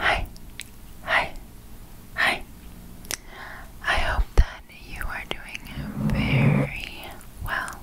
Hi, hi, hi. I hope that you are doing very well.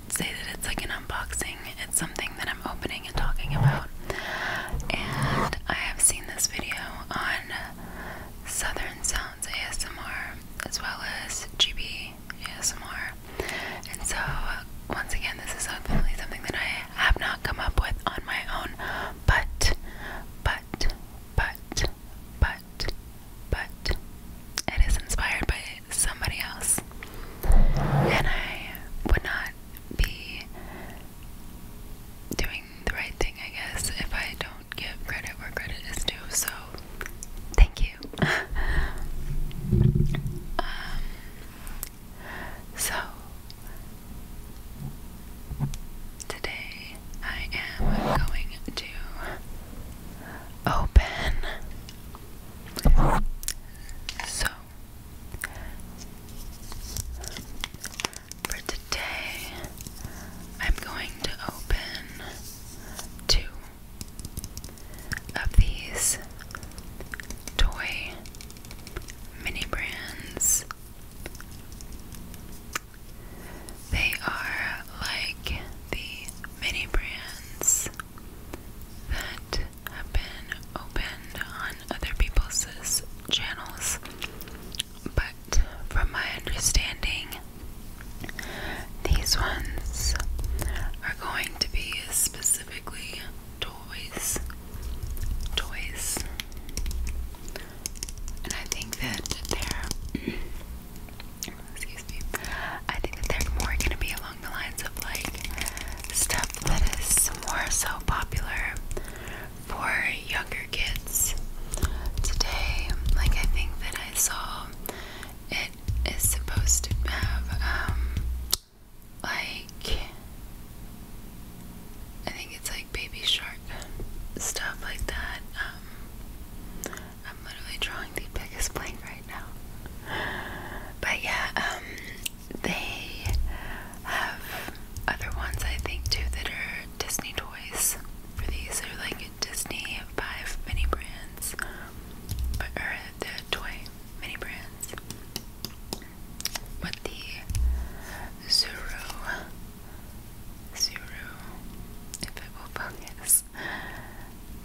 say that it's like an unboxing. It's something that I'm opening and talking about. And I have seen this video on Southern Sounds ASMR as well as GB ASMR. And so, once again, this is definitely something that I have not come up with on my own, but, but, but, but, but, it is inspired by somebody else. And I would not be doing the right thing, I guess, if I don't give credit where credit is due. So, thank you. um, so, today I am going to open. So, for today, I'm going to open two of these toy mini brands. They are like the mini brands that have been opened on other people's channels, but from my understanding, these ones are going to be specifically toys. Toys. And I think that they're. Excuse me. I think that they're more going to be along the lines of like stuff that is more so popular for younger kids today. Like I think that I saw it is supposed to have um, like I think it's like baby shark stuff like that. Um, I'm literally drawing the biggest blank right now. But yeah, um, they have other ones I think too that are Disney toys. For these are like Disney five mini brands, but or the toy mini brands. But the Zuru, if it will focus,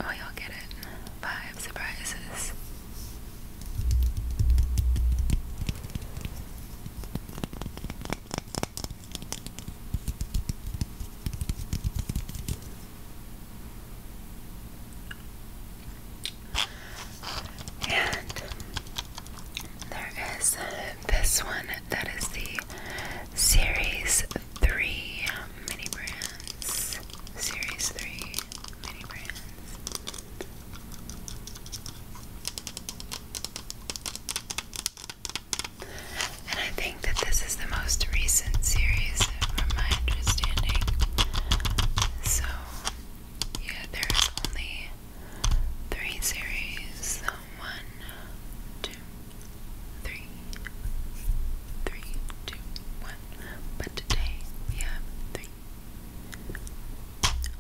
oh, you'll get it. Five surprises and there is this one that is the Series 3 um, Mini Brands. Series 3 mini brands. And I think that this is the most recent series from my understanding. So, yeah, there's only three series um, one, two, three, three, two, one. But today we have three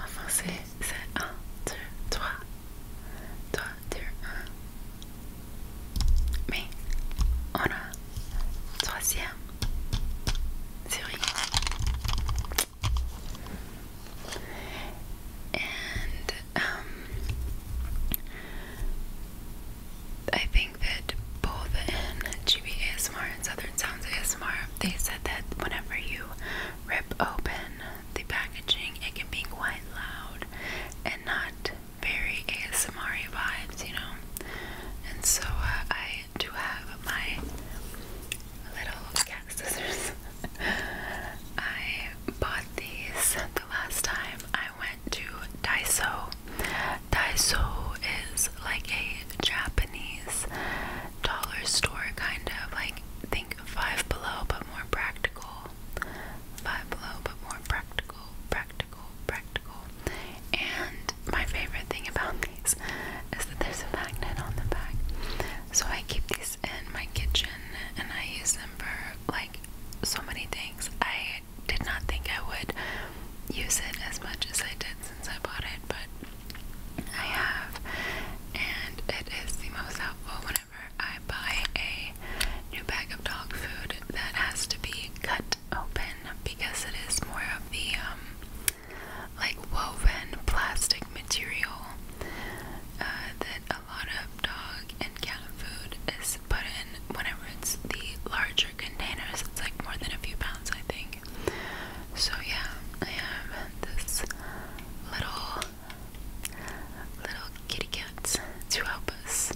En c'est 1, 2, 3. 3, 2, 1. Mais on a troisième série. And um, I think that both in GB ASMR and Southern Sounds ASMR, they said that whenever you rip open the packaging, it can be quite loud and not very ASMR vibes, you know. And so uh, I do have my little cat scissors. I bought these the last time I went to Daiso Daiso is like a Japanese dollar store kind of like think five below but more practical. Five below but more practical, practical, practical. And my favorite thing about these is that there's a magnet on the back. So I keep these in my kitchen and I use them for like so many things. I did not think I would use it as much as I did since I bought it, but I have, and it is the most helpful whenever I buy a new bag of dog food that has to be cut open because it is more of the um, like woven plastic material uh, that a lot of dog and cat food is put in whenever it's the larger containers. It's like more than a few pounds, I think. So yeah, I have this little little kitty cat to help us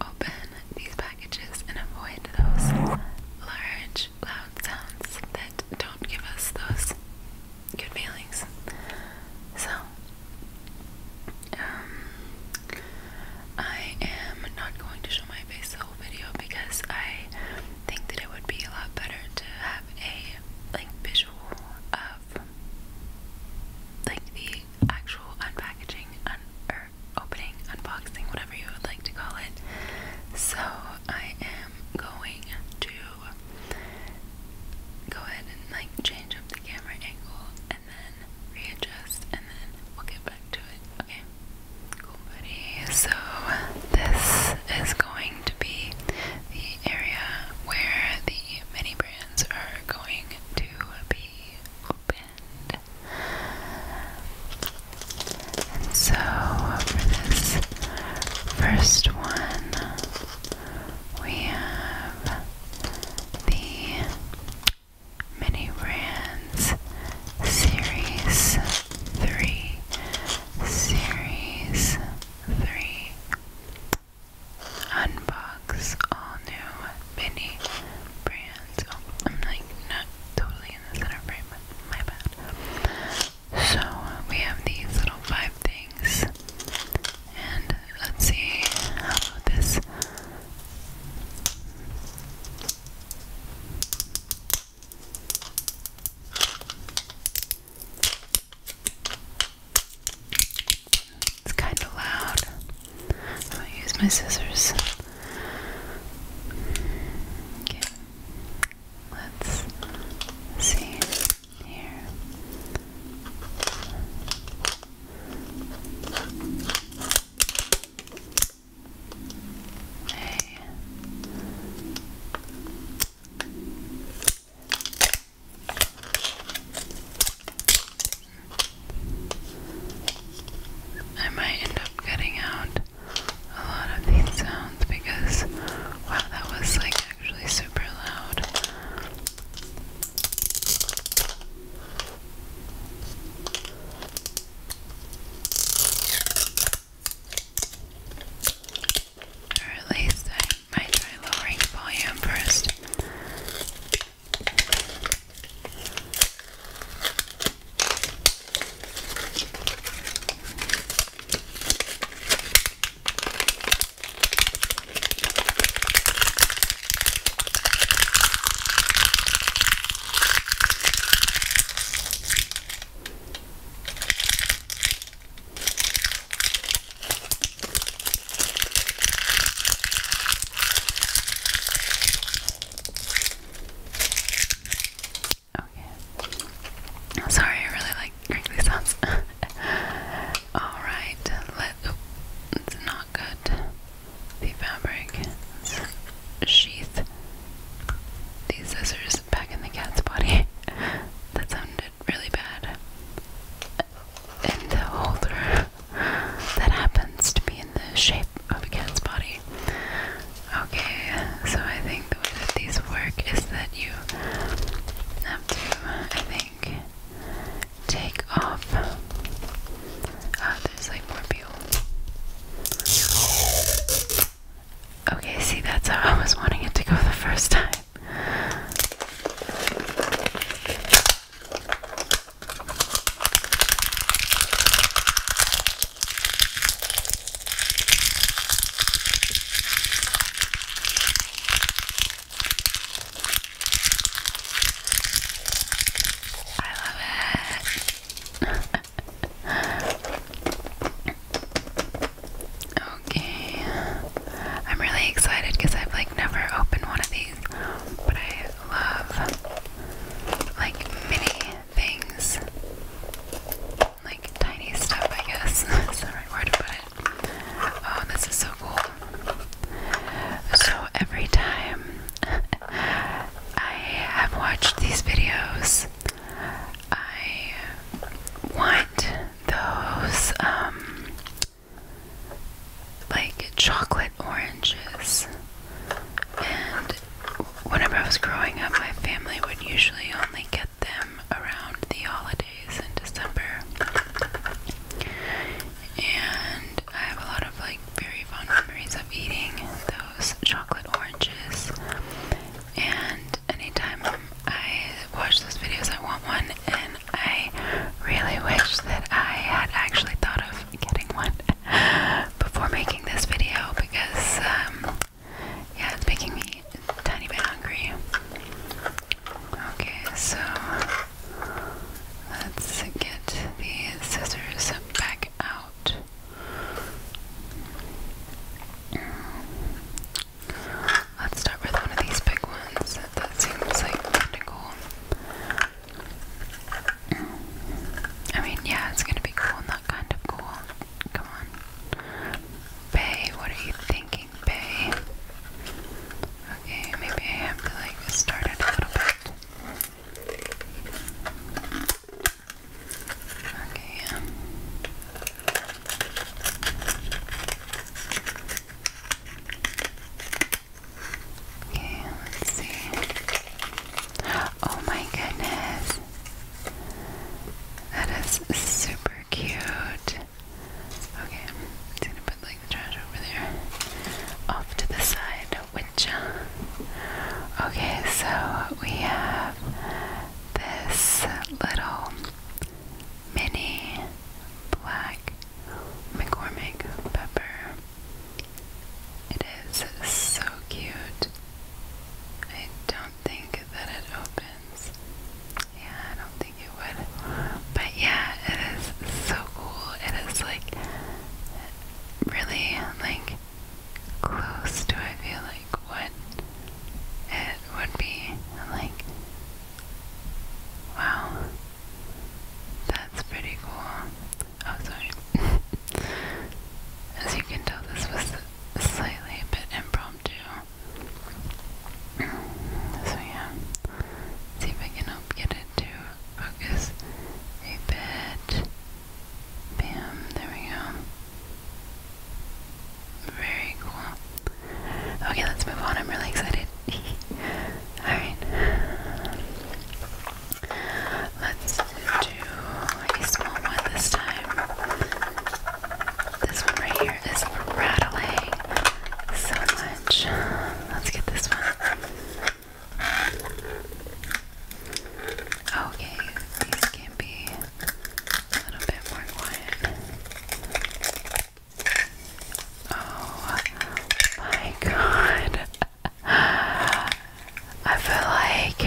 open these packages and avoid those large loud sounds that don't give us those good feelings. So um I am not going to show my face video because I think that it would be a lot better to have a like visual of like the actual unpackaging un or opening, unboxing, whatever you would like to call it. So I am going to go ahead and like change up the camera angle and then readjust and then we'll get back to it. Okay. Cool buddy, so this is going to be the area where the mini brands are going to be opened. so for this first one, we have the mini brands series. 3 Series 3 Unbox all new mini brands. Oh, I'm like not totally in the center frame, my bad. So we have these little five things. And let's see how about this. It's kind of loud. I'm use my scissors. let's see here. Hey. I might end up getting out a lot of these sounds because wow, that was like actually super loud. Or at least I might try lowering volume first yeah. Sorry, I really like crinkly sounds. Alright, let. it's not good. The fabric sheath these scissors back in the cat's body. that sounded really bad. In the holder that happens to be in the shape of a cat's body. Okay, so I think the way that these work is that you have to, I think, take off. Ah, there's like more peel. Okay, see, that's how I was wanting it to go the first time. I love it okay. I'm really excited because I've like never opened one of these, but I love like mini things. Like tiny stuff, I guess. That's the right word to put it. Oh, this is so cool. So every time I have watched these videos, I want those um like chocolate oranges. And whenever I was growing up, my family would usually only get them around the holidays in December. And I have a lot of like very fond memories of eating those those chocolate oranges. And anytime I watch those videos, I want one, and I really wish that I had actually thought of getting one before making this video because, um, yeah, it's making me a tiny bit hungry. Okay, so let's get the scissors back out. Let's start with one of these big ones that seems like kinda cool. I mean, yeah, it's gonna be cool, not kind of cool. Come on. Bay, what are you thinking, Bay? Okay, maybe I have to like start it a little bit. Okay. Okay, let's see. Oh my goodness. That is super cute. Okay, I'm gonna put like the trash over there off to the side, which, uh, okay, so we have this little mini black McCormick pepper. It is so cute. I don't think that it opens. Yeah, I don't think it would. But yeah, it is so cool. It is like really like close do I feel like what it would be? like, wow, that's pretty cool. Oh, sorry. As you can tell, this was slightly a bit impromptu. So yeah, see if I can help get it to focus a bit. Bam, there we go. Very cool. Okay, let's move on. I'm really excited. Alright. Let's do a small one this time. This one right here is rattling so much. Let's get this one. Okay, these can be a little bit more quiet. Oh my god. I feel like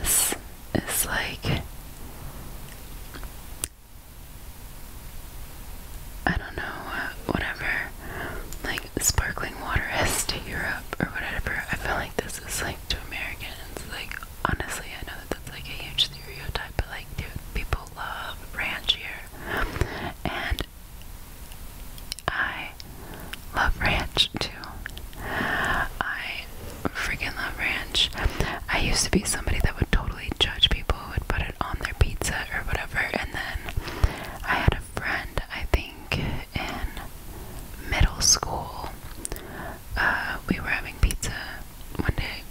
this is like I don't know, whatever like sparkling water is to Europe or whatever. I feel like this is like to Americans, like honestly, I know that that's like a huge stereotype, but like, dude, people love ranch here, and I love ranch too. I freaking love ranch. I used to be somebody that would totally judge people who would put it on their pizza or whatever, and then I had a friend, I think in middle school, uh, we were having pizza one day,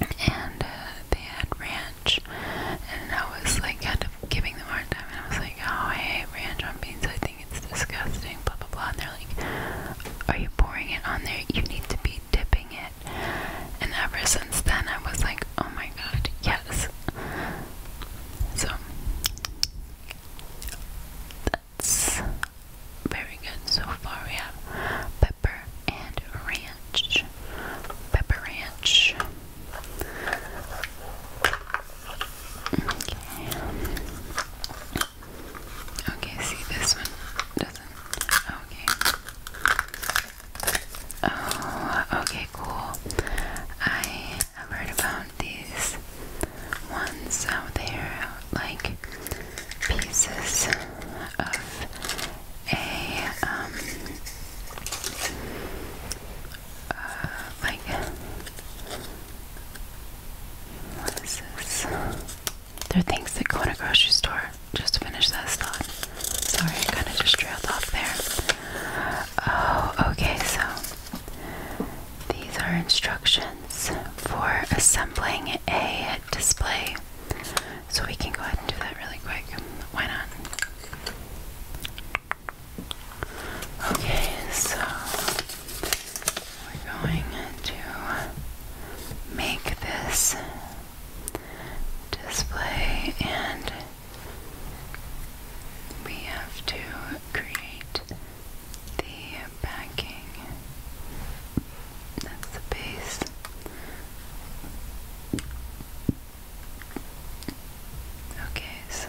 and uh, they had ranch, and I was like kind of giving them a hard time, and I was like, "Oh, I hate ranch on beans. I think it's disgusting." Blah blah blah. And they're like, "Are you pouring it on there? You need to be dipping it." And ever since then, I was like, "Oh my god, yes." So that's very good so far. We have pepper and ranch. Pepper ranch. Okay. Okay, see this one doesn't. Okay. Oh, okay, cool. I I've heard about these ones out there, like pieces of a, um, uh, like, what is this? They're things that go in a grocery store. Just to that thought. Sorry, I kind of just trailed off there. Oh, okay, so these are instructions for assembling a display. So we can go ahead and do that really quick. Why not? Okay, so we're going to make this display and we have to create the backing. That's the base. Okay, so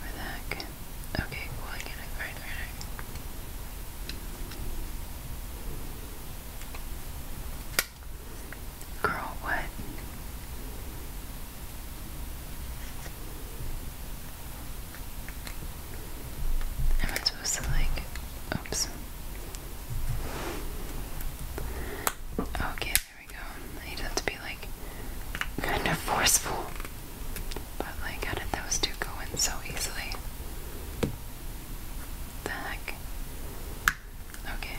where that can, okay, cool, I right, right. Girl, what? Am I supposed to like oops. Okay, there we go. I would have to be like kind of forceful. But like how did those two go in so easily? The heck? Okay.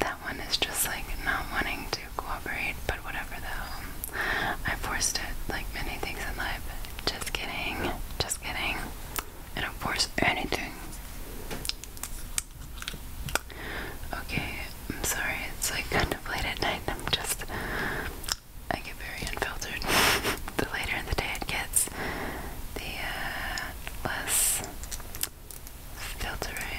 That one is just like not wanting to cooperate, but whatever though. I forced it like many things in life. Just kidding. Just kidding. I don't force anything. Okay, I'm sorry. It's like kind of late at night. I'm just. I get very unfiltered. the later in the day it gets, the uh, less filter I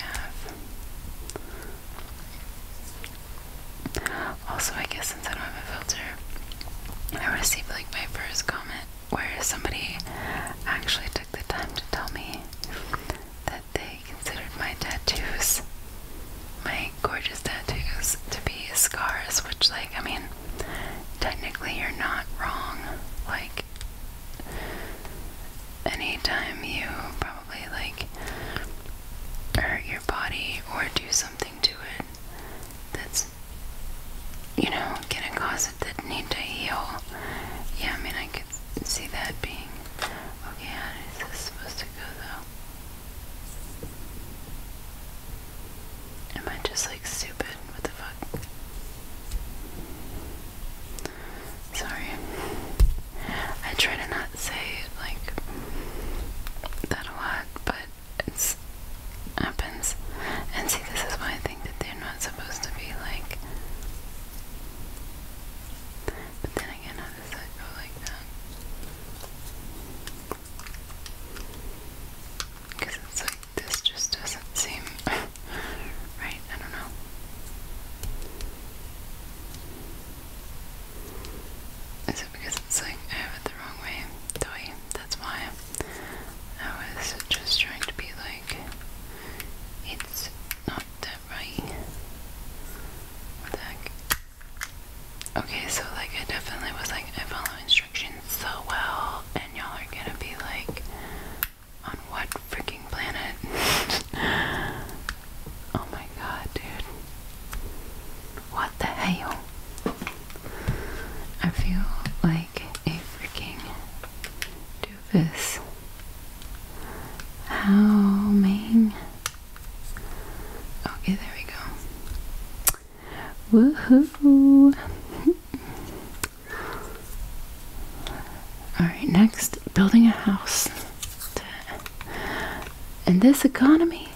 have. Also, I guess since I don't have a filter, I received like my first comment where somebody actually took the time to tell me that they considered my tattoos, my gorgeous tattoos, to be scars, which, like, I mean, technically you're not wrong. Like, anytime you probably like hurt your body or do something to it that's, you know, gonna cause it that need to heal. Yeah, I mean, I could see that being. Okay, how is this supposed to go though? Am I just like stupid? What the fuck? Sorry. I try to not say like that a lot, but it happens. And see, this is why I think that they're not supposed to be like. But then again, how does that go like that? Because it's like, this just doesn't seem right. I don't know. Is it because it's like I have it the wrong way? that's why. I was just trying to be like, it's not that right. What the Okay, so like I definitely was like, I follow instructions so well, and y'all are gonna be like, on what freaking planet? oh my god, dude. What the hell? I feel like a freaking doofus. How, man? Okay, there we go. Woohoo! Alright, next, building a house. In this economy,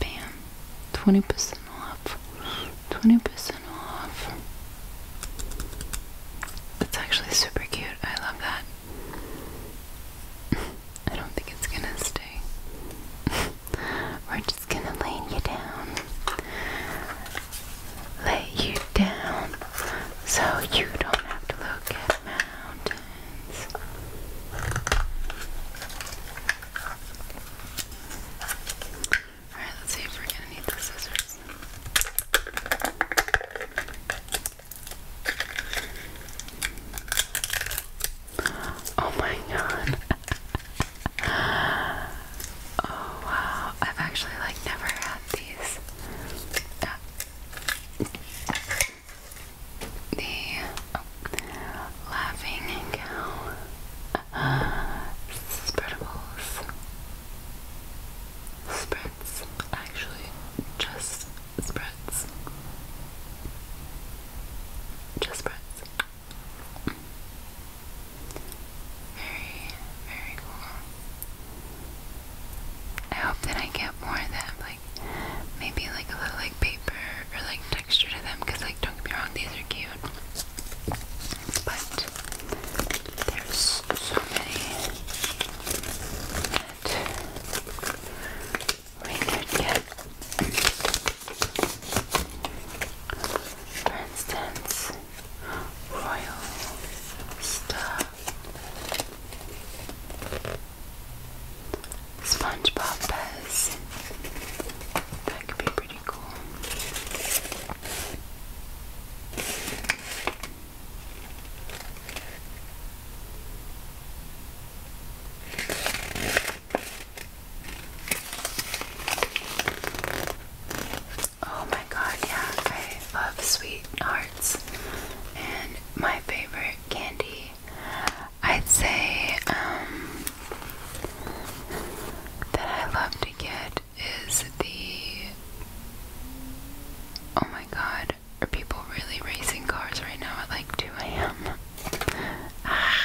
bam, 20% off, 20% off. That's actually super cute. I love that. I don't think it's gonna stay. are just just gonna lay you down. Lay you down so you don't have to look at mountains. Alright, let's see if we're gonna need the scissors. Oh my god. oh wow. I've actually like never had these. the oh, laughing cow spreadables. Spreads. Actually, just spreads. Just spreads. Very, very cool. I hope that I get more of them, like maybe like a little like paper or like texture to them, because like don't get me wrong, these are cute. But there's so many that Really yeah. For instance, royal stuff. SpongeBob Buzz. That could be pretty cool. Oh my god, yeah, I love sweethearts. And my favorite candy, I'd say, um, that I love to get is the. Oh my god, are people really racing cars right now at like 2 a.m.? Ah.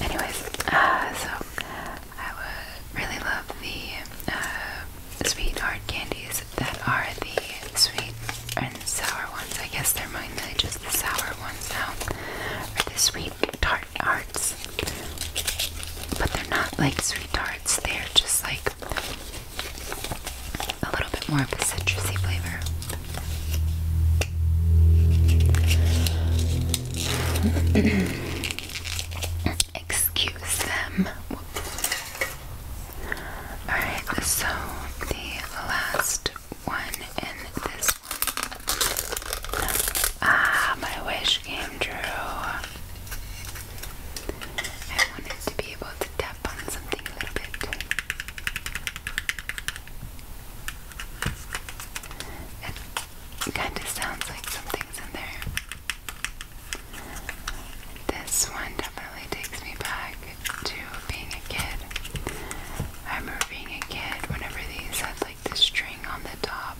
Anyways, uh, so I would really love the uh, sweetheart candies that are the sweet and sour ones. I guess they're mainly just the sour ones now, or the sweet tart arts. But they're not like sweet tarts. They're just like a little bit more of a citrusy flavor. Excuse them. Alright, so the last one in this one. Ah, my wish came true. I wanted to be able to tap on something a little bit. It kind of sounds like something's in there. This one definitely takes me back to being a kid. I remember being a kid whenever they said like the string on the top,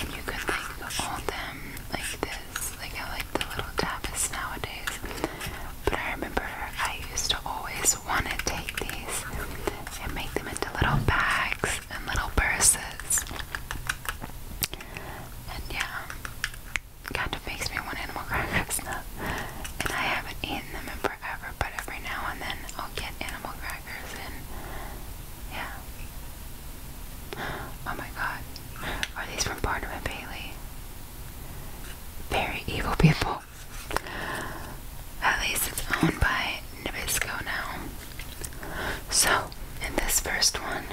and you could like hold them like this, like I like the little tapas nowadays. But I remember I used to always want to take these and make them into little bags and little purses. And yeah, kind of makes me want animal crackers And I haven't eaten them in forever, but every now and then I'll get animal crackers and yeah. Oh my god. Are these from Barnum and Bailey? Very evil people. At least it's owned by Nabisco now. So, in this first one,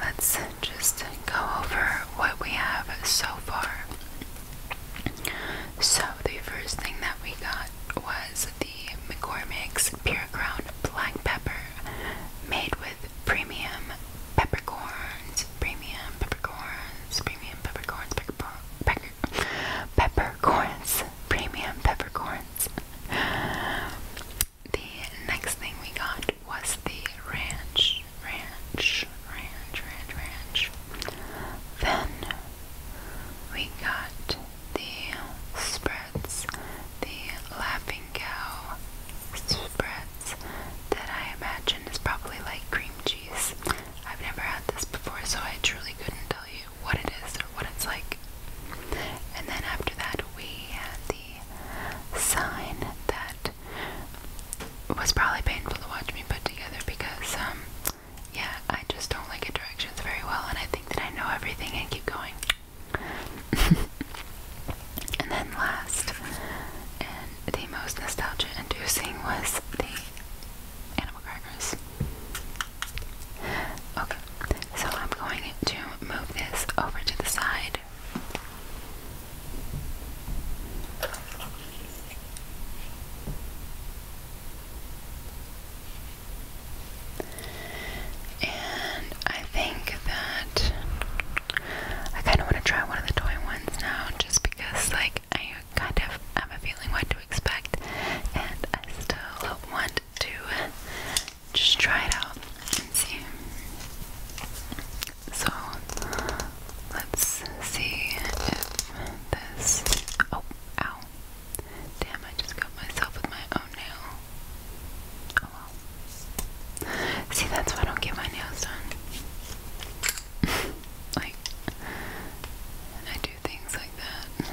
let's just go over what we have so far. So, the first thing that we got was the McCormick's Pure Ground Black Pepper made with premium peppercorns, premium peppercorns, premium peppercorns, peppercorns, premium peppercorns. The next thing we got was the ranch, ranch, ranch, ranch, ranch. Then we got the spreads, the laughing cow spreads that I imagine is probably like cream cheese. I've never had this before, so I truly couldn't tell you what it is or what it's like. And then after that, we had the sign that was probably painful to watch me put together because, um, yeah, I just don't like directions very well, and I think that I know everything and keep going. and then last, and the most nostalgia inducing was the animal crackers. Okay, so I'm going to move this over to the side. And I think that I kind of want to try one of the toy ones now just because, like, I kind of have a feeling what to expect, and I still want to just try it out and see. So let's see if this. Oh, ow! Damn, I just got myself with my own nail. Oh well. See, that's why I don't get my nails done. like, I do things like that. Yeah.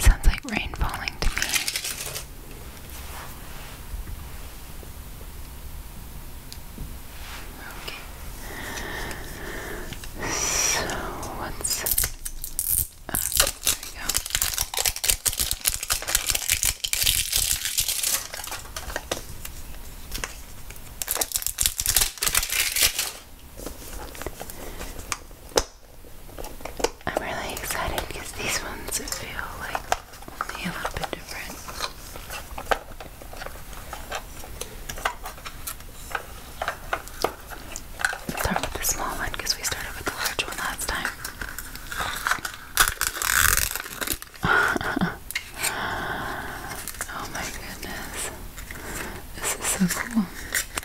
Sounds like rain falling to me. Okay. So what's there we go. I'm really excited because these ones feel like only a little bit different. Start with the small one because we started with the large one last time. Oh my goodness. This is so cool.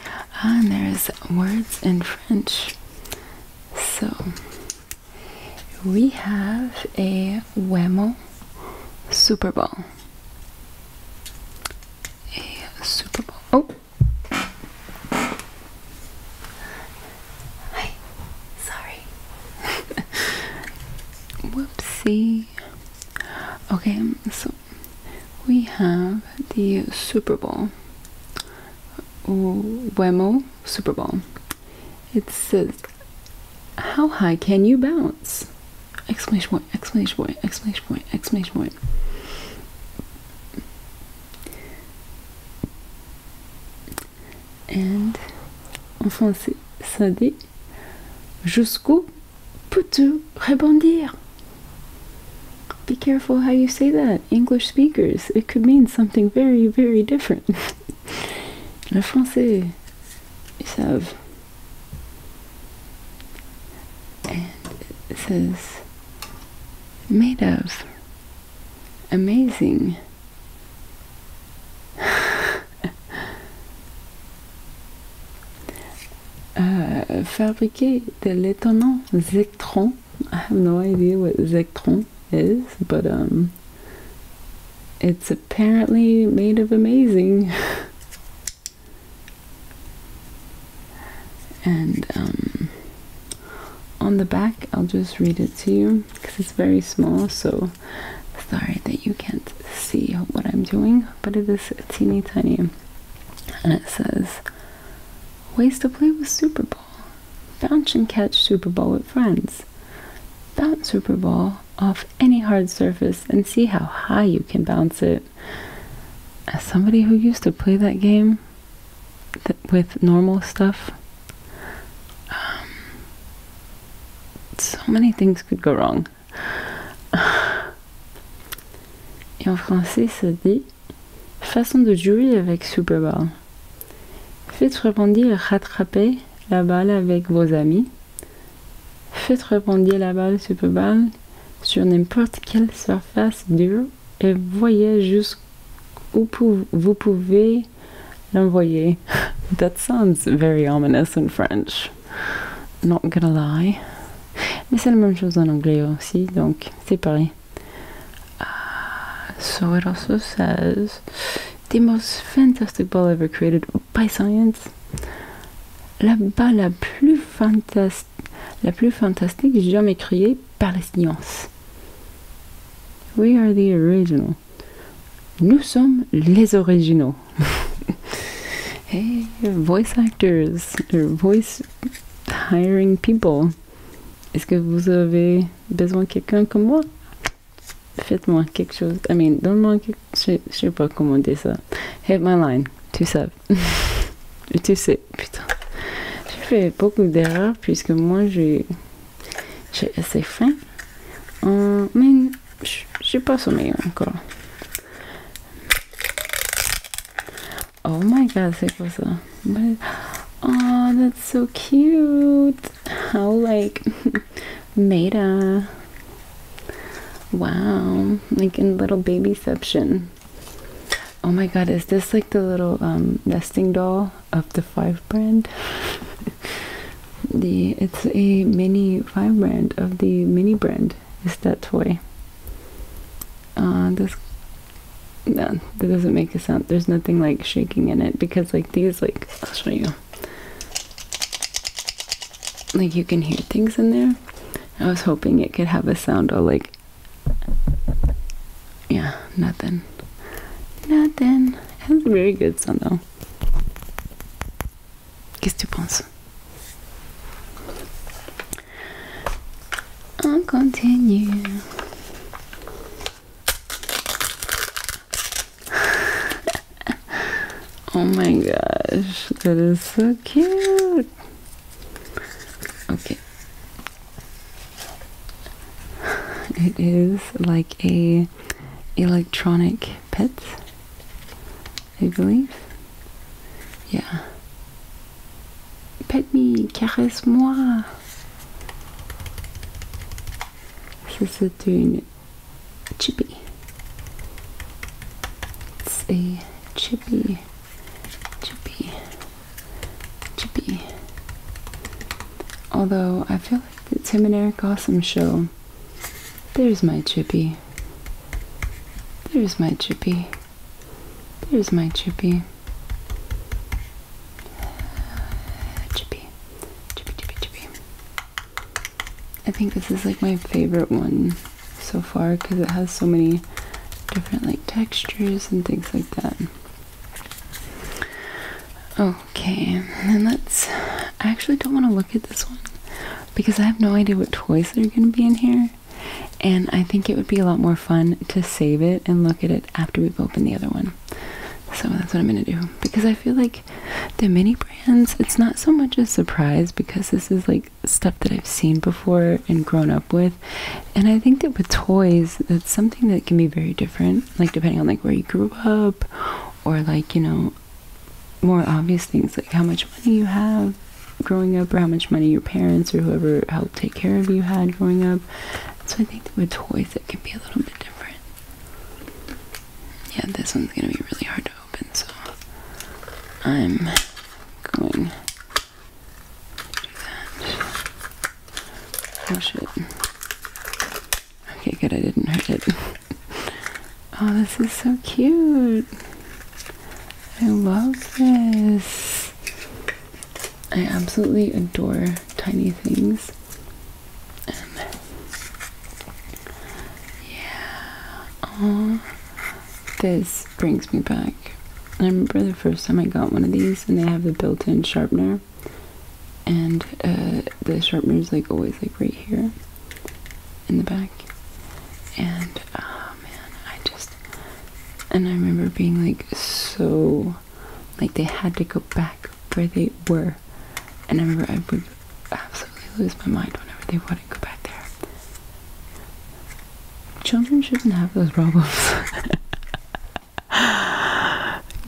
Ah, and there's words in French. So we have a Wemo Super Bowl. A Super Bowl. Oh! Hi. Sorry. Whoopsie. Okay, so we have the Super Bowl. Wemo Super Bowl. It says, "How high can you bounce?" Exclamation point! Exclamation point! Exclamation point! Exclamation point! And en français, ça dit jusqu'où Putu rebondir. Be careful how you say that, English speakers. It could mean something very, very different. Les Français, ils savent. And it says, made of. Amazing. uh, fabriquer the l'étonnant zectron. I ah, have no idea what zectron is, but um, it's apparently made of amazing. and um, on the back, I'll just read it to you because it's very small, so sorry that you can't see what I'm doing but it is teeny tiny. And it says, Ways to play with Super Ball. Bounce and catch Super Ball with friends. Bounce Super Ball off any hard surface and see how high you can bounce it. As somebody who used to play that game with normal stuff, um, so many things could go wrong. Et en français, ça dit façon de jouer avec Superball Faites rebondir, rattraper la balle avec vos amis. Faites rebondir la balle Superball sur n'importe quelle surface dure et voyez jusqu'où vous pouvez l'envoyer. That sounds very ominous in French. Not gonna lie. Mais c'est la même chose en anglais aussi, donc c'est pareil. Ah, so it also says the most fantastic ball ever created by science. La balle la plus, fantastique, la plus fantastique jamais créée par les sciences. We are the original. Nous sommes les originaux. hey, voice actors, voice hiring people. Est-ce que vous avez besoin de quelqu'un comme moi? Faites-moi quelque chose. I mean, donne-moi quelque chose. Je sais pas comment dire ça. Hit my line. Tu sais. tu sais, putain. J'ai fait beaucoup d'erreurs puisque moi j'ai. assez faim. Euh, mais She j'ai pas sommeil eh, encore. Oh my god, c'est quoi oh, that's so cute. How like made a. Wow, like in little babyception. Oh my god, is this like the little um, nesting doll of the Five brand? the it's a mini Five brand of the mini brand mind is that toy. Uh, this no, that doesn't make a sound. There's nothing like shaking in it because like these like I'll show you. Like you can hear things in there. I was hoping it could have a sound of like Yeah, nothing. Nothing. It has a very good sound though. Qu'est-ce continue. oh my gosh, that is so cute. Okay. It is like a electronic pet I believe. Yeah. Pet me, caresse moi. Ça c'est une chippy. It's a chippy, chippy, chippy. Although I feel like the Tim and Eric Awesome show. There's my chippy. There's my chippy. There's my chippy. Chippy. Chippy, chippy, chippy. I think this is like my favorite one so far because it has so many different like textures and things like that. Okay, and let's. I actually don't want to look at this one because I have no idea what toys are going to be in here. And I think it would be a lot more fun to save it and look at it after we've opened the other one. So that's what I'm going to do. Because I feel like the mini brands, it's not so much a surprise because this is like stuff that I've seen before and grown up with. And I think that with toys, that's something that can be very different, like depending on like where you grew up or like, you know, more obvious things like how much money you have growing up or how much money your parents or whoever helped take care of you had growing up. So I think with toys it can be a little bit different. Yeah, this one's gonna be really hard to open, so I'm going to do that. Oh shit. Okay, good, I didn't hurt it. Oh, this is so cute. I love this. I absolutely adore tiny things. yeah. Oh, this brings me back. I remember the first time I got one of these, and they have the built-in sharpener, and uh, the sharpener is like always like right here, in the back. And oh, man, I just and I remember being like so like they had to go back where they were. And I remember I would absolutely lose my mind whenever they wanted to go back there. Children shouldn't have those problems.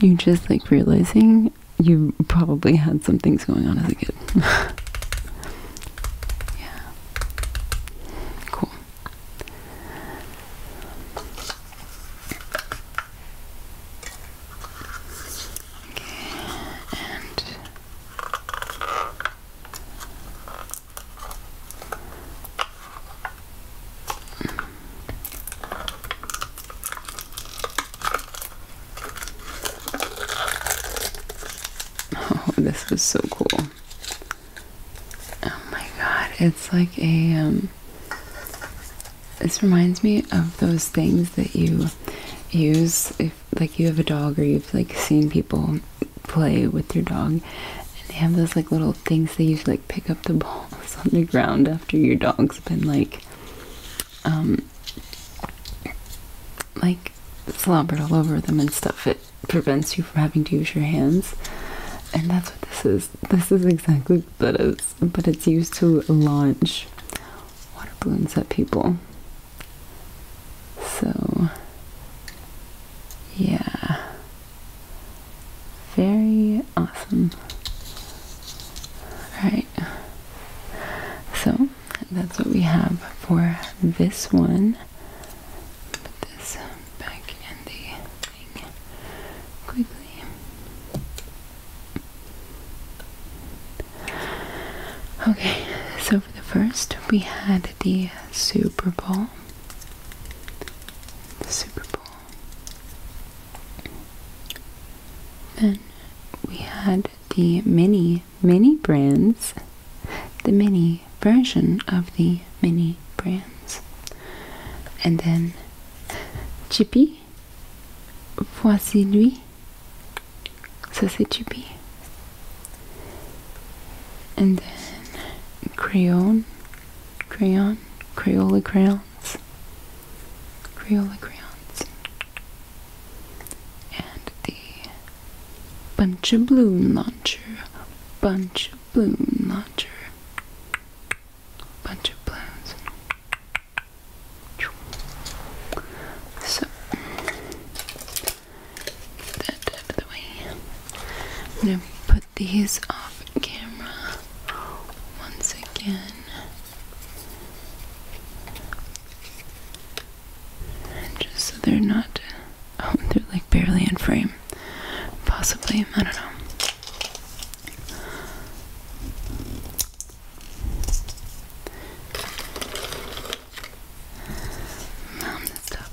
you just like realizing you probably had some things going on as a kid. yeah. Cool. Okay, and Oh, this was so cool. Oh my god, it's like a um this reminds me of those things that you use if like you have a dog or you've like seen people play with your dog and they have those like little things they use to like pick up the balls on the ground after your dog's been like um like slobbered all over them and stuff. it prevents you from having to use your hands. And that's what this is. This is exactly what it is. But it's used to launch water balloons at people. So, yeah. Very awesome. Alright. So, that's what we have for this one. Put this um, back in the thing quickly. Okay, so for the first, we had the Super Bowl. The Super Bowl. Then we had the mini mini brands, the mini version of the mini brands. And then Chippy, voici lui. Ça c'est Chippy. And then Crayon, Crayon, Crayola crayons, Crayola crayons. And the Bunch of bloom launcher, bunch of bloom launcher, bunch of balloons. So that out of the way. I'm gonna put these off camera once again. Just so they're not. Oh, they're like barely in frame. Possibly. I don't know. Mom, that's tough.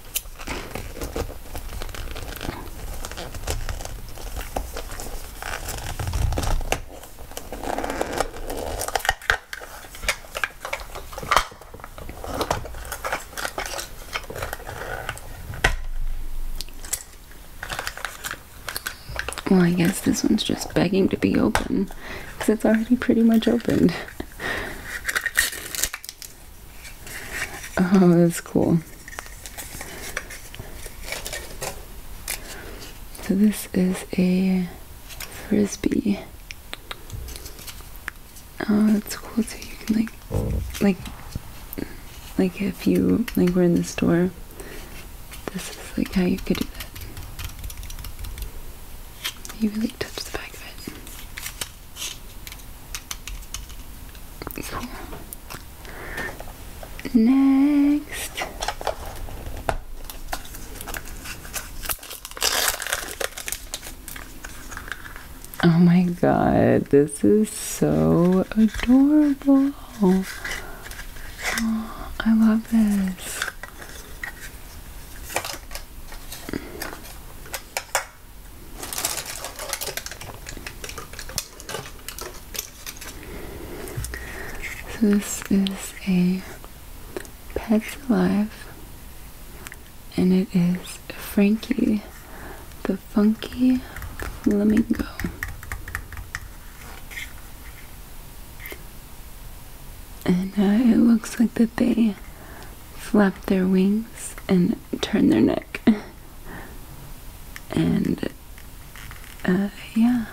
Well, I guess this one's just begging to be open because it's already pretty much opened. Oh, that's cool. So this is a frisbee. Oh, that's cool. So you can like, like, like if you like were in the store, this is like how you could do that. You really touch the back of it. Next. Oh my god, this is so adorable. Oh, I love this. So this is a Pets Alive and it is Frankie the Funky Flamingo. And uh, it looks like that they flap their wings and turn their neck. and uh, yeah.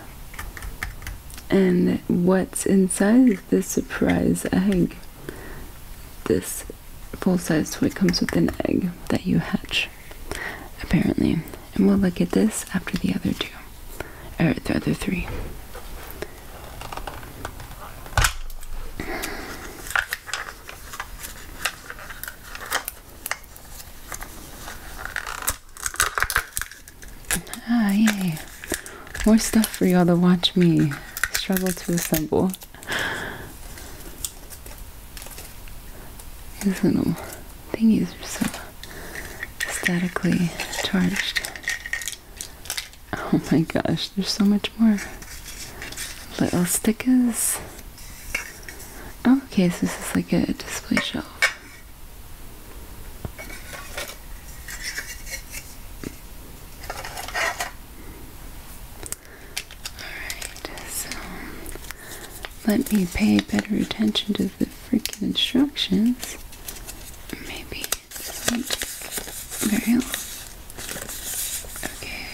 And what's inside the surprise egg? This full size toy comes with an egg that you hatch, apparently. And we'll look at this after the other two, or the other three. Ah, More stuff for y'all to watch me struggle to assemble. These little thingies are so statically charged. Oh my gosh, there's so much more. Little stickers okay, so this is like a display shelf. Alright, so let me pay better attention to the freaking instructions. Maybe very Okay.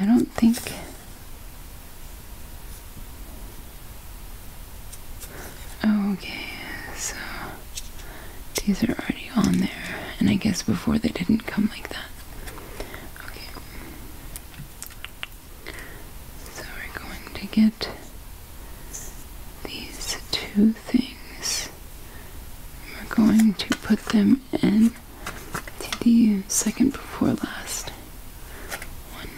I don't think Okay, so these are already on there, and I guess before they didn't come like that. Okay. So we're going to get these two things. We're going to put them in to the second before last one.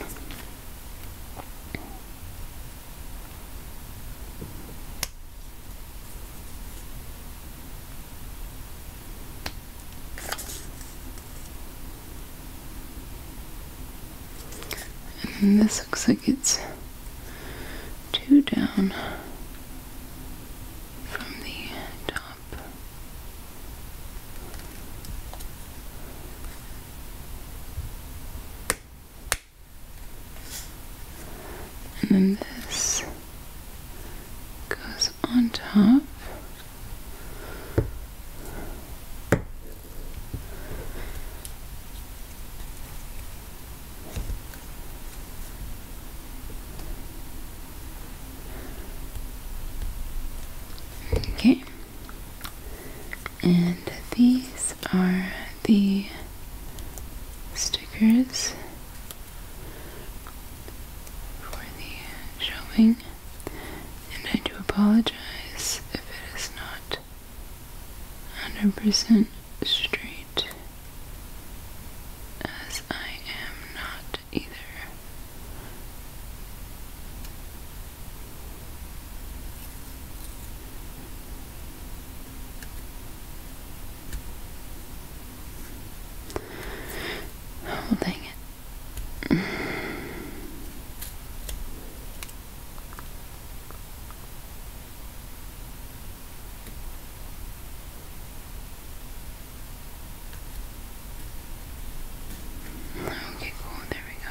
And this looks like it's two down from the top. And then this goes on top. Okay. And these are the stickers for the showing and I do apologize if it is not 100% straight, as I am not either. Oh, dang it. Okay, cool. There we go.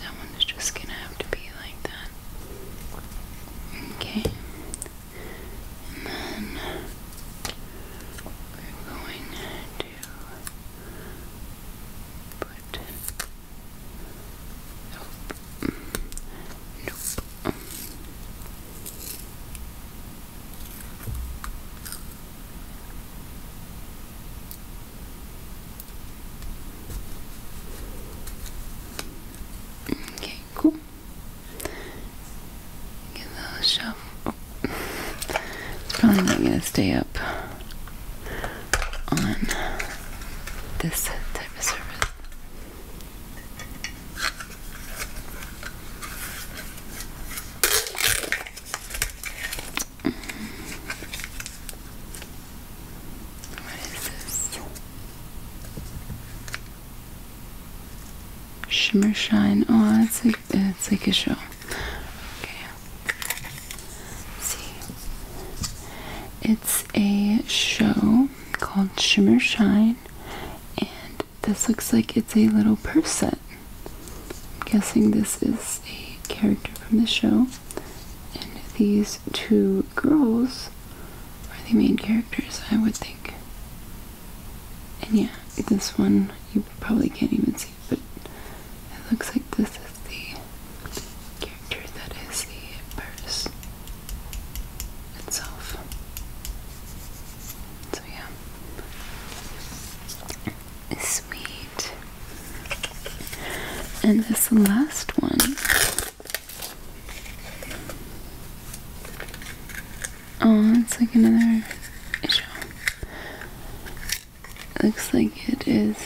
That one is just gonna have to be like that. Okay. And then we're going to put nope. Nope. Okay, cool. Get those shelf. Oh. Probably not gonna stay up on this type of service. What is Shimmer shine. Oh, that's like it's like a show. Okay. see. It's a show called Shimmer Shine and this looks like it's a little person. I'm guessing this is a character from the show. And these two girls are the main characters, I would think. And yeah, this one you probably can't even see, but it looks like this is the character that is the purse itself. So yeah sweet. And this last one. Oh, it's like another issue. Looks like it is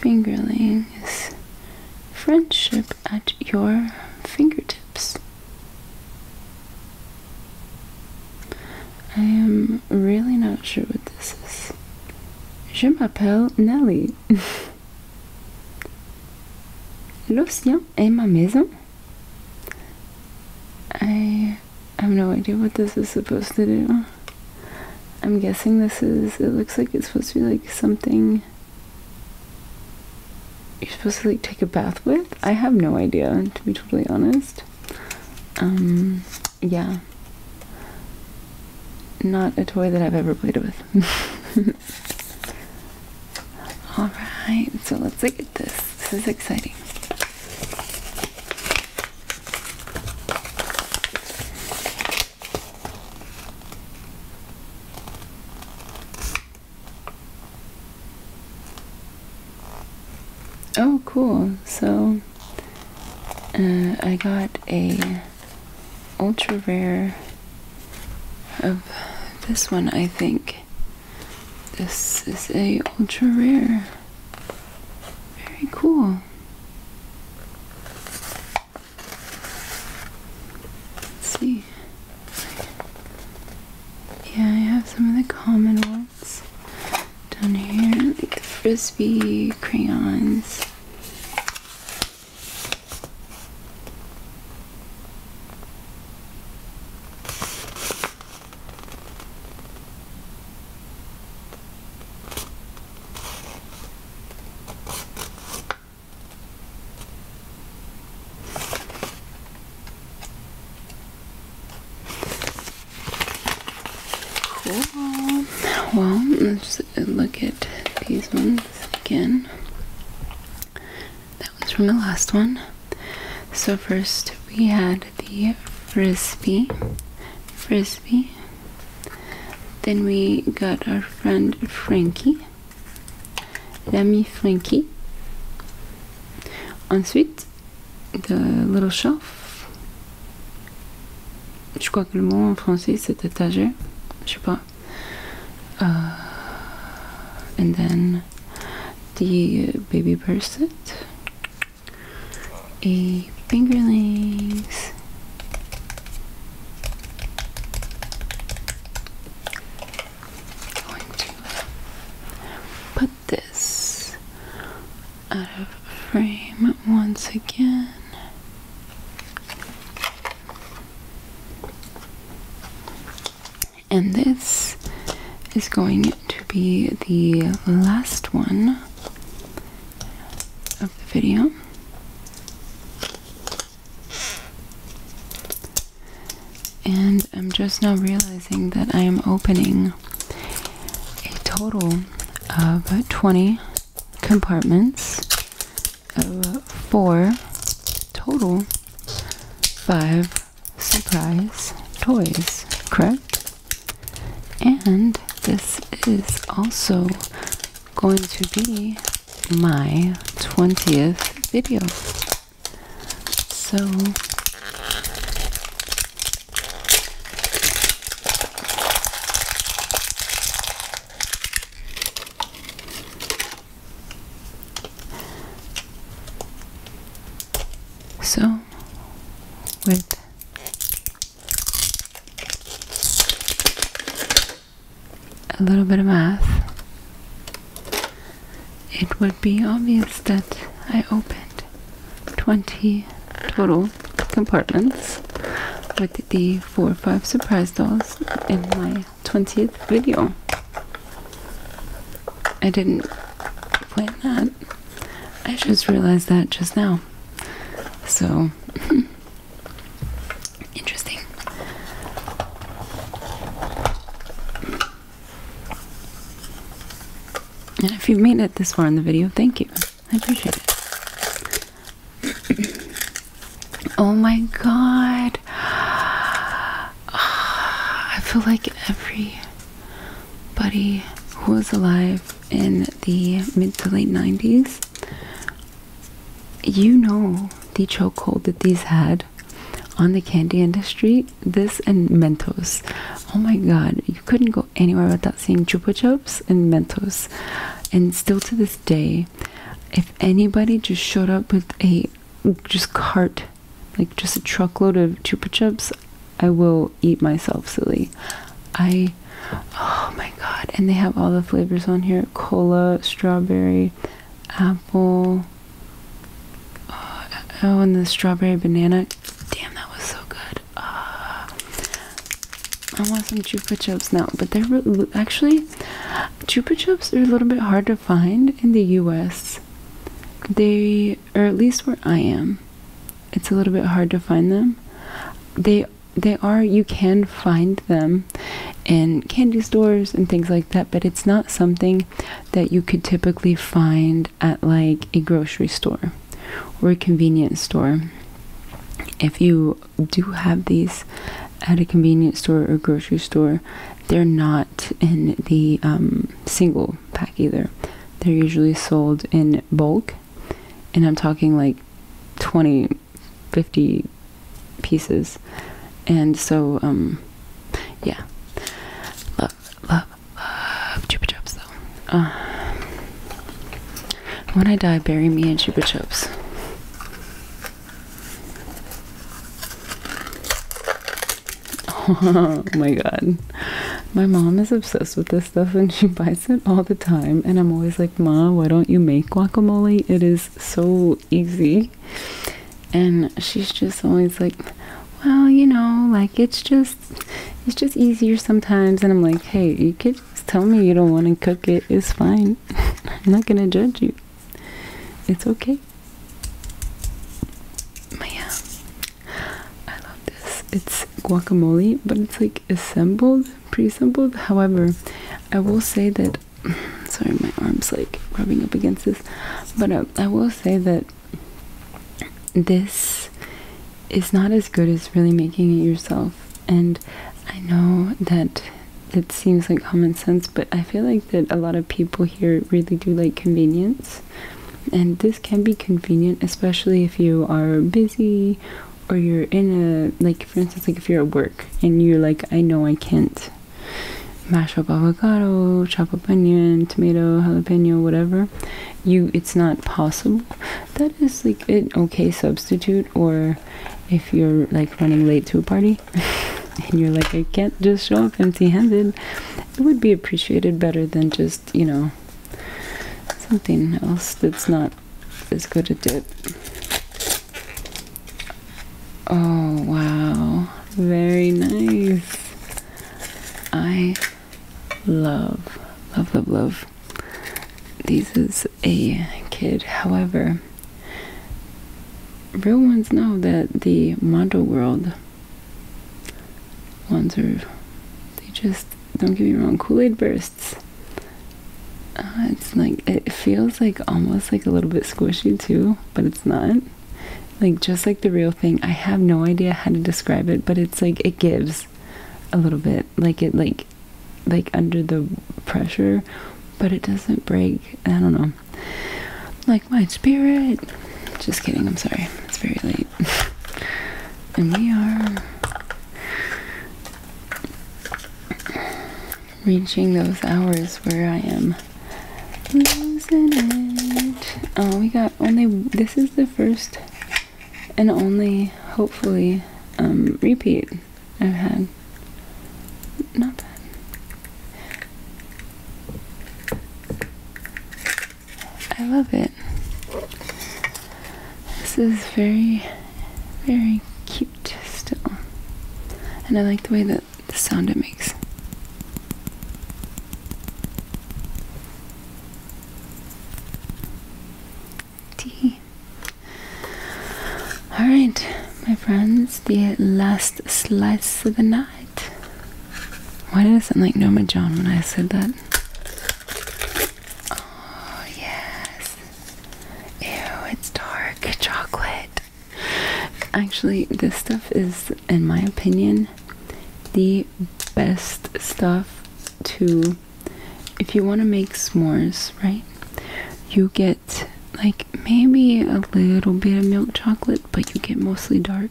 fingerling friendship at your fingertips. I am really not sure what this is. Je m'appelle Nelly. L'océan est ma maison. I have no idea what this is supposed to do. I'm guessing this is, it looks like it's supposed to be like something you're supposed to like take a bath with? I have no idea, to be totally honest. Um, yeah. Not a toy that I've ever played with. Alright, so let's look at this. This is exciting. Oh, cool. So uh, I got a ultra rare of this one, I think. This is a ultra rare. Very cool. see. Yeah, I have some of the common ones down here, like the frisbee crayons. Cool. Well, let's look at these ones again. That was from the last one. So first we had the frisbee. Frisbee. Then we got our friend Frankie. l'ami Frankie. Ensuite, The Little Shelf. Je crois que le mot en français c'est étagère. Je sais pas. Euh, and then the euh, Baby Bird Et Fingerlings. going to put this out of frame once again. And this is going to be the last one of the video and I'm just now realizing that I am opening a total of 20 compartments of four total five surprise toys, correct? And this is also going to be my 20th video. So so with a little bit of math it would be obvious that I opened 20 total compartments with the 4 or 5 surprise dolls in my 20th video. I didn't plan that. I just realized that just now. So, interesting. And if you've made it this far in the video, thank you. I appreciate it. oh my god. Ah, I feel like everybody who was alive in the mid to late 90s, you know the chokehold that these had on the candy industry this and mentos oh my god you couldn't go anywhere without seeing chupa chups and mentos and still to this day if anybody just showed up with a just cart like just a truckload of chupa chups i will eat myself silly i oh my god and they have all the flavors on here cola strawberry apple uh, oh, and the strawberry banana. Damn, that was so good. Uh, I want some Chupa Chups now, but they're actually Chupa Chups are a little bit hard to find in the U.S. They, or at least where I am, it's a little bit hard to find them. They they are you can find them in candy stores and things like that, but it's not something that you could typically find at like a grocery store or a convenience store. If you do have these at a convenience store or grocery store, they're not in the um, single pack either. They're usually sold in bulk, and I'm talking like 20, 50 pieces. And so, um, yeah love, love, love Chupa Chups though. when I die, bury me in Chupa Chups. Oh my god. My mom is obsessed with this stuff and she buys it all the time. And I'm always like, Mom, why don't you make guacamole? It is so easy and she's just always like well you know like it's just it's just easier sometimes and i'm like hey you could just tell me you don't want to cook it it's fine i'm not gonna judge you it's okay but i love this it's guacamole but it's like assembled pre-assembled however i will say that sorry my arm's like rubbing up against this but uh, i will say that this is not as good as really making it yourself. And I know that it seems like common sense, but I feel like that a lot of people here really do like convenience. And this can be convenient, especially if you are busy or you're in a, like, for instance, like if you're at work and you're like, I know I can't mash up avocado, chop up onion, tomato, jalapeno, whatever, you it's not possible. That is like an okay substitute or if you're like running late to a party and you're like I can't just show up empty handed, it would be appreciated better than just, you know, something else that's not as good a dip. Oh wow. Very nice. I love, love, love, love these is a kid. However, real ones know that the model world ones are, they just, don't get me wrong, Kool Aid bursts. Uh, it's like, it feels like almost like a little bit squishy too, but it's not. Like just like the real thing. I have no idea how to describe it, but it's like it gives a little bit. Like it like like under the pressure, but it doesn't break. I don't know. Like my spirit. Just kidding, I'm sorry. It's very late. and we are reaching those hours where I am losing it. Oh, we got only this is the first and only hopefully um repeat I've had. Not bad. I love it. This is very, very cute still. And I like the way that the sound it makes. Tea. Alright, my friends, the last slice of the night. Why did I sound like Noma John when I said that? Oh, yes. Ew, it's dark chocolate. Actually, this stuff is in my opinion, the best stuff to if you want to make s'mores, right? You get like maybe a little bit of milk chocolate, but you get mostly dark.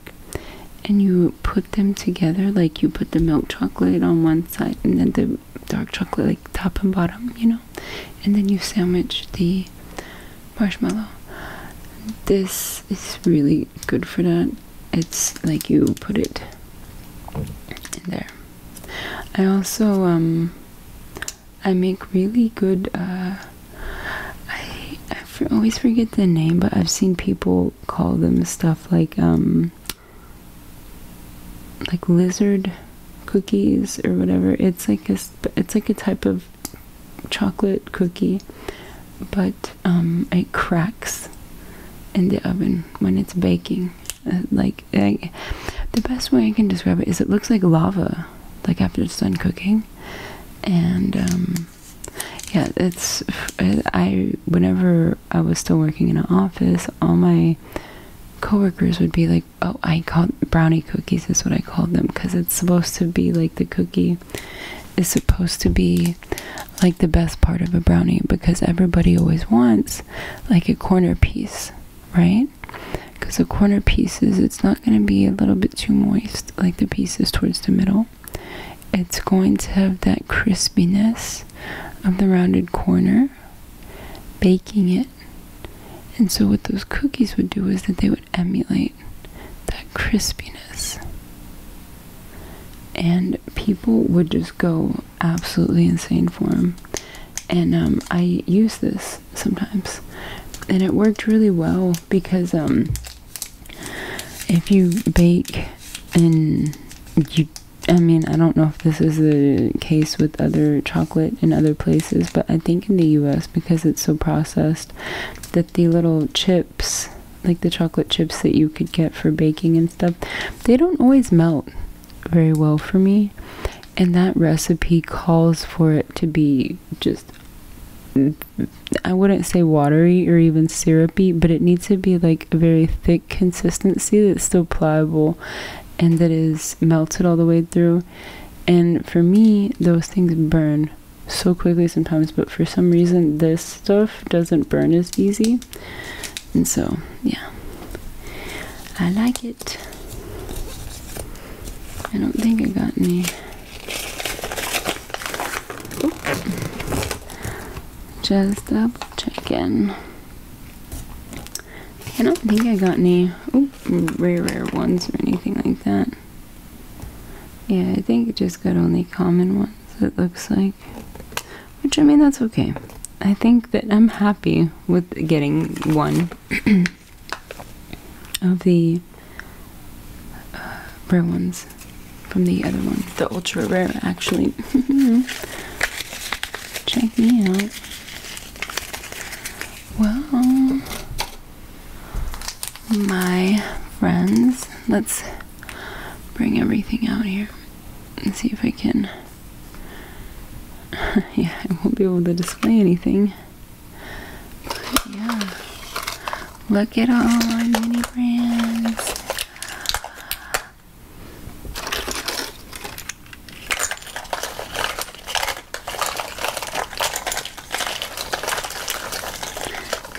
And you put them together, like you put the milk chocolate on one side and then the dark chocolate, like top and bottom, you know? And then you sandwich the marshmallow. This it's really good for that. It's like you put it in there. I also um I make really good uh I I for always forget the name, but I've seen people call them stuff like um like lizard cookies or whatever. It's like a it's like a type of chocolate cookie, but um, it cracks in the oven when it's baking. Uh, like the best way I can describe it is it looks like lava, like after it's done cooking, and um, yeah, it's I. Whenever I was still working in an office, all my coworkers would be like, "Oh, I call brownie cookies is what I called them because it's supposed to be like the cookie brownie is supposed to be like the best part of a brownie because everybody always wants like a corner piece, right? Because the corner pieces, it's not going to be a little bit too moist like the pieces towards the middle. It's going to have that crispiness of the rounded corner, baking it. And so, what those cookies would do is that they would emulate that crispiness. And people would just go absolutely insane for them. And um, I use this sometimes. And it worked really well because um, if you bake and you I mean, I don't know if this is the case with other chocolate in other places, but I think in the US, because it's so processed, that the little chip like the chocolate chips that you could get for baking and stuff, they don't always melt very well for me. And that recipe calls for it to be just, I wouldn't say watery or even syrupy, but it needs to be like a very thick consistency that's still pliable and that is melted all the way through. And for me, those things burn so quickly sometimes, but for some reason this stuff doesn't burn as easy. And so, yeah. I like it. I don't think I got any. Oops. Just double checking. I don't think I got any rare, rare ones or anything like that. Yeah, I think I just got only common ones it looks like. Which, I mean, that's okay. I think that I'm happy with getting one of the uh, rare ones from the other one, the ultra rare, actually. Check me out. Well, my friends, let's bring everything out here and see if I can. yeah, I won't be able to display anything. But yeah, look at all my mini brands.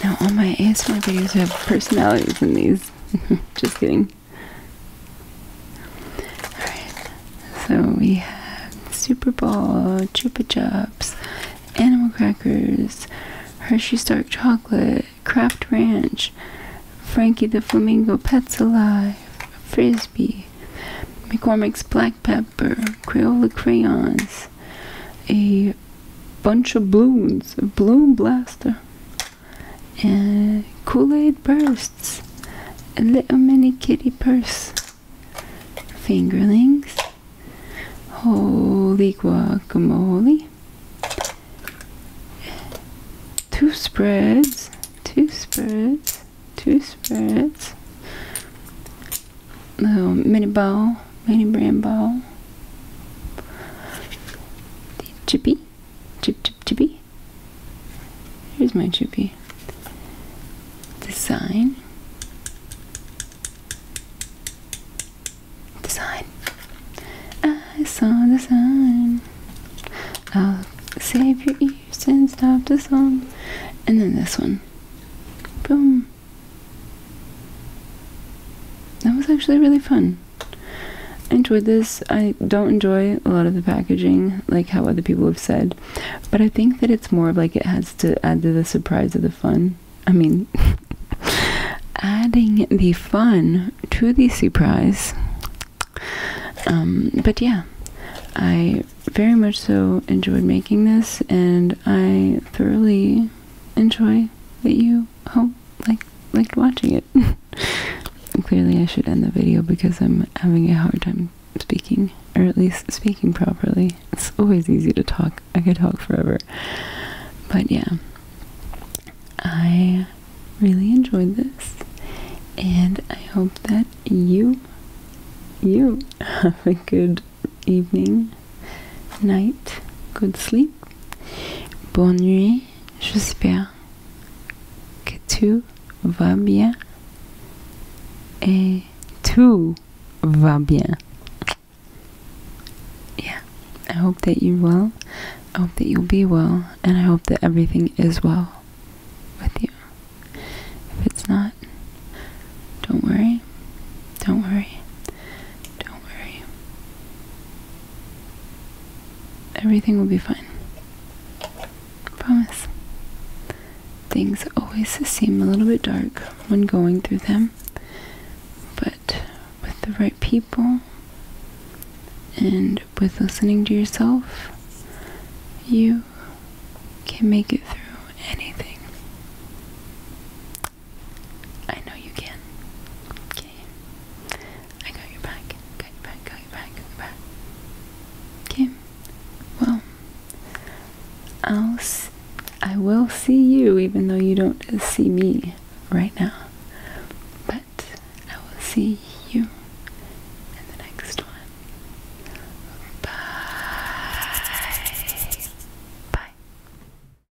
Now all my ASMR videos have personalities in these. Just kidding. Alright, so we have Super Ball, Chupa Chups, Animal Crackers, Hershey's Dark Chocolate, Kraft Ranch, Frankie the Flamingo Pets Alive, Frisbee, McCormick's Black Pepper, Crayola Crayons, a bunch of balloons, a balloon blaster, and Kool-Aid bursts, a little mini kitty purse, fingerlings, holy guacamole, two spreads, two spreads, two spreads, little mini ball, Manny Bramble, the Chippy, Chip Chip Chippy. Here's my Chippy. Design, design. I saw the sign. I'll save your ears and stop the song. And then this one. Boom that was actually really fun. I enjoyed this. I don't enjoy a lot of the packaging, like how other people have said, but I think that it's more of like it has to add to the surprise of the fun. I mean, adding the fun to the surprise. Um, but yeah, I very much so enjoyed making this, and I thoroughly enjoy that you you oh like liked watching it. Clearly I should end the video because I'm having a hard time speaking or at least speaking properly. It's always easy to talk. I could talk forever. But yeah. I really enjoyed this and I hope that you you have a good evening, night, good sleep nuit. Bonne nuit. J'espère que tout va bien. Et tout va bien. Yeah. I hope that you're well. I hope that you'll be well. And I hope that everything is well with you. If it's not, don't worry. Don't worry. Don't worry. Everything will be fine. Promise. Things always seem a little bit dark when going through them, but with the right people and with listening to yourself, you can make it through anything. I know you can. Kim. I got your back. Got your back. Got your back. Got your back. Okay. Well, I'll. S I will see you, even though you don't see me right now. But I will see you in the next one. Bye. Bye.